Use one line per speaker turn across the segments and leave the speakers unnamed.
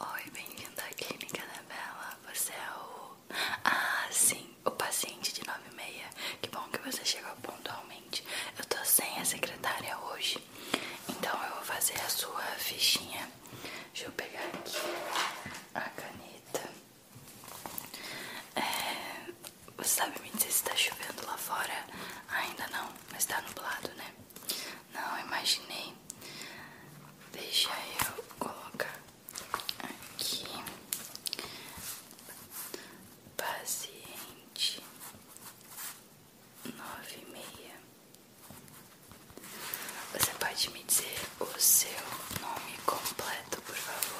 Oi, bem-vindo à clínica da Bela. Você é o. Ah, sim, o paciente de 96. Que bom que você chegou pontualmente. Eu tô sem a secretária hoje. Então eu vou fazer a sua fichinha. Deixa eu pegar aqui a caneta. É... Você sabe me dizer se tá chovendo lá fora? Ainda não, mas tá nublado, né? Não, imaginei. Deixa eu colocar aqui. Paciente nove e meia. Você pode me dizer o seu nome completo, por favor?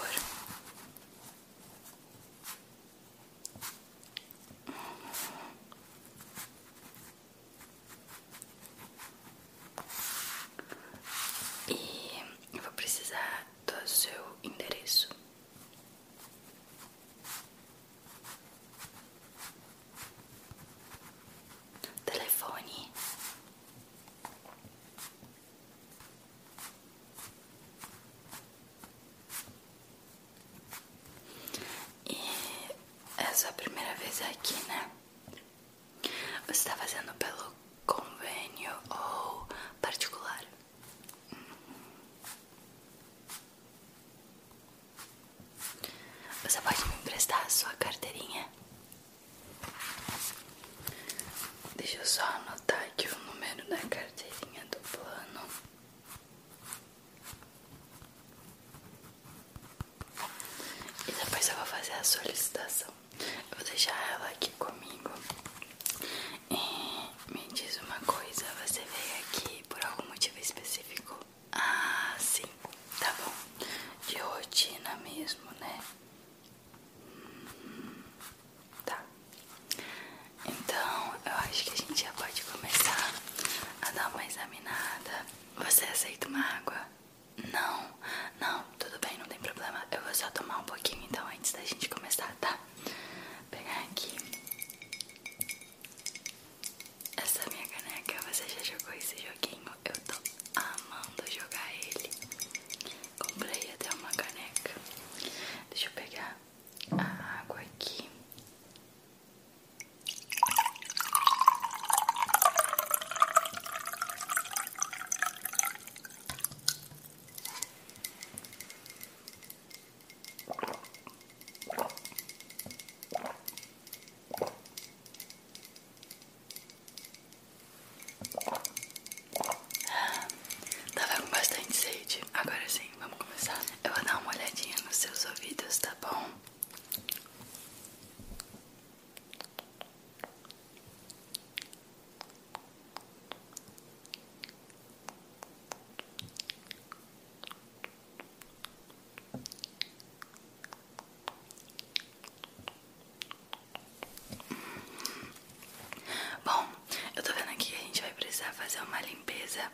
E vou precisar do seu endereço. Telefone. E é sua primeira vez aqui, né? Você está fazendo pelo convênio ou particular? Você pode me emprestar a sua carteirinha? Deixa eu só anotar aqui o número da carteirinha do plano. E depois eu vou fazer a solicitação. Eu vou deixar ela aqui comigo. E me diz uma coisa: você veio aqui por algum motivo específico? Ah, sim, tá bom. De rotina mesmo, né? Hum, tá. Então eu acho que a gente já pode começar a dar uma examinada você aceita uma água? Não, não, tudo bem, não tem problema. Eu vou só tomar um pouquinho então antes da gente começar, tá? Pegar aqui. Essa minha caneca, você já jogou esse joguinho? Eu tô amando jogar ele. Comprei até uma caneca. Deixa eu pegar a água aqui. Tava com bastante sede. Agora sim, vamos começar. Eu vou dar uma olhadinha nos seus ouvidos, tá bom? Bom, eu estou vendo aqui que a gente vai precisar fazer uma limpeza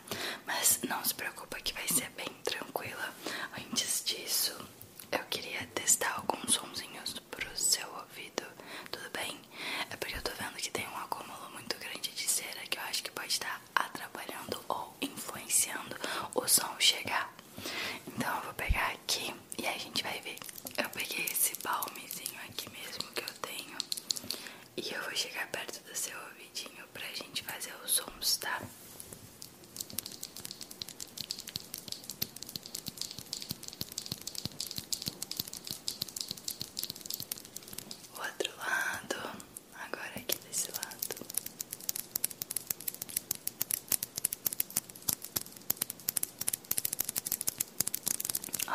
mas não se preocupa que vai ser bem tranquila. Antes disso, eu queria testar alguns para o seu ouvido, tudo bem? É porque eu estou vendo que tem um acúmulo muito grande de cera que eu acho que pode estar atrapalhando ou influenciando o som chegar. Então eu vou pegar aqui e a gente vai ver. Eu peguei esse balmezinho aqui mesmo que eu tenho. E eu vou chegar perto do seu ouvidinho pra gente fazer os sons, tá? O outro lado, agora aqui desse lado.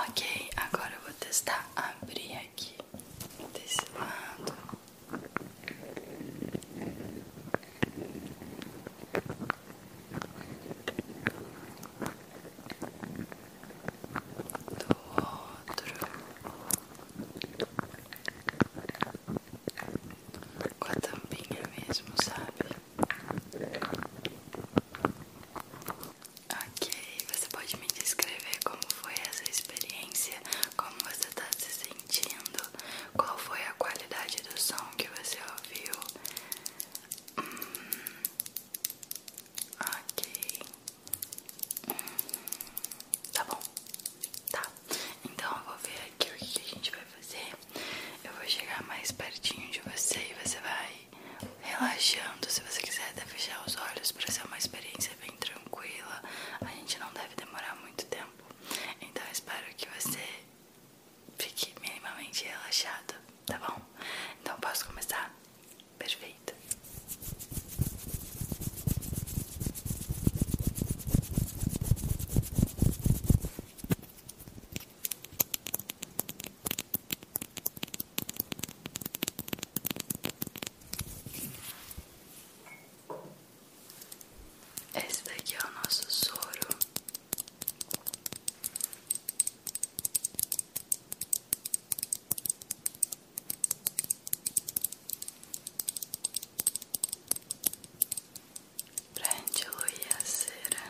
Ok, agora eu vou testar abrir aqui desse lado. Do outro, com a tampinha mesmo, sabe? Ok, você pode me descrever como foi essa experiência, como você está se sentindo, qual foi a qualidade do som que você ouviu? Hum, ok, hum, tá bom, tá. Então eu vou ver aqui o que a gente vai fazer. Eu vou chegar mais pertinho de você e você vai relaxando. Se você quiser, até fechar os olhos para ser uma experiência ser tranquila. A gente não deve demorar muito tempo. Então espero que você fique minimamente relaxado, tá bom? Então posso começar? Perfeito. Esse daqui é o nosso soro. Pra gente diluir a cera.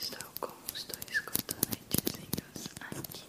Estou com os dois cotonetezinhos aqui.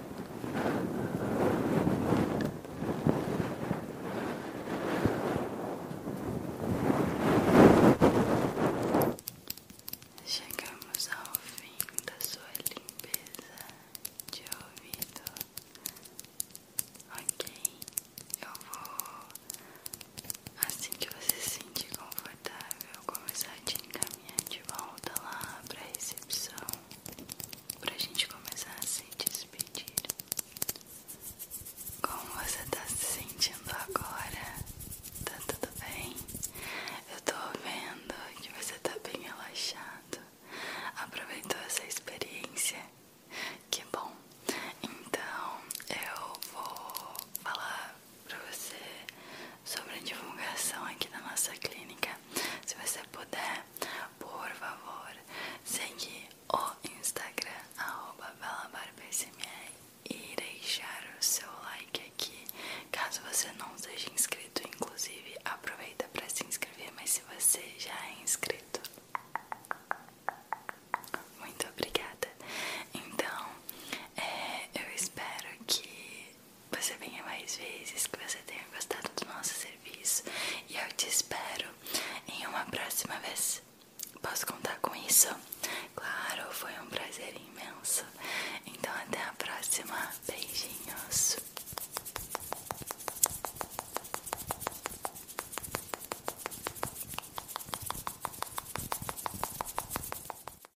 Chegamos ao fim da sua limpeza de ouvido. Ok, eu vou, assim que você se sentir confortável, começar a te encaminhar de volta lá para a recepção para a gente começar a se despedir. Como você tá se sentindo agora? Tá tudo bem? Eu tô vendo que você tá bem relaxado. Aproveitou essa experiência? Que bom! Então eu vou falar para você sobre divulgação aqui da nossa clínica. Se você puder, por favor, seguir o Instagram @belabarpsmr e deixar o seu like aqui. Caso você não seja inscrito, inclusive, aproveita para se inscrever, mas se você já é inscrito, muito obrigada. Então, é, eu espero que você venha mais vezes, que você tenha gostado do nosso serviço e eu te espero em uma próxima vez. Posso contar com isso? Claro, foi um prazer imenso. Então até a próxima. Beijinhos.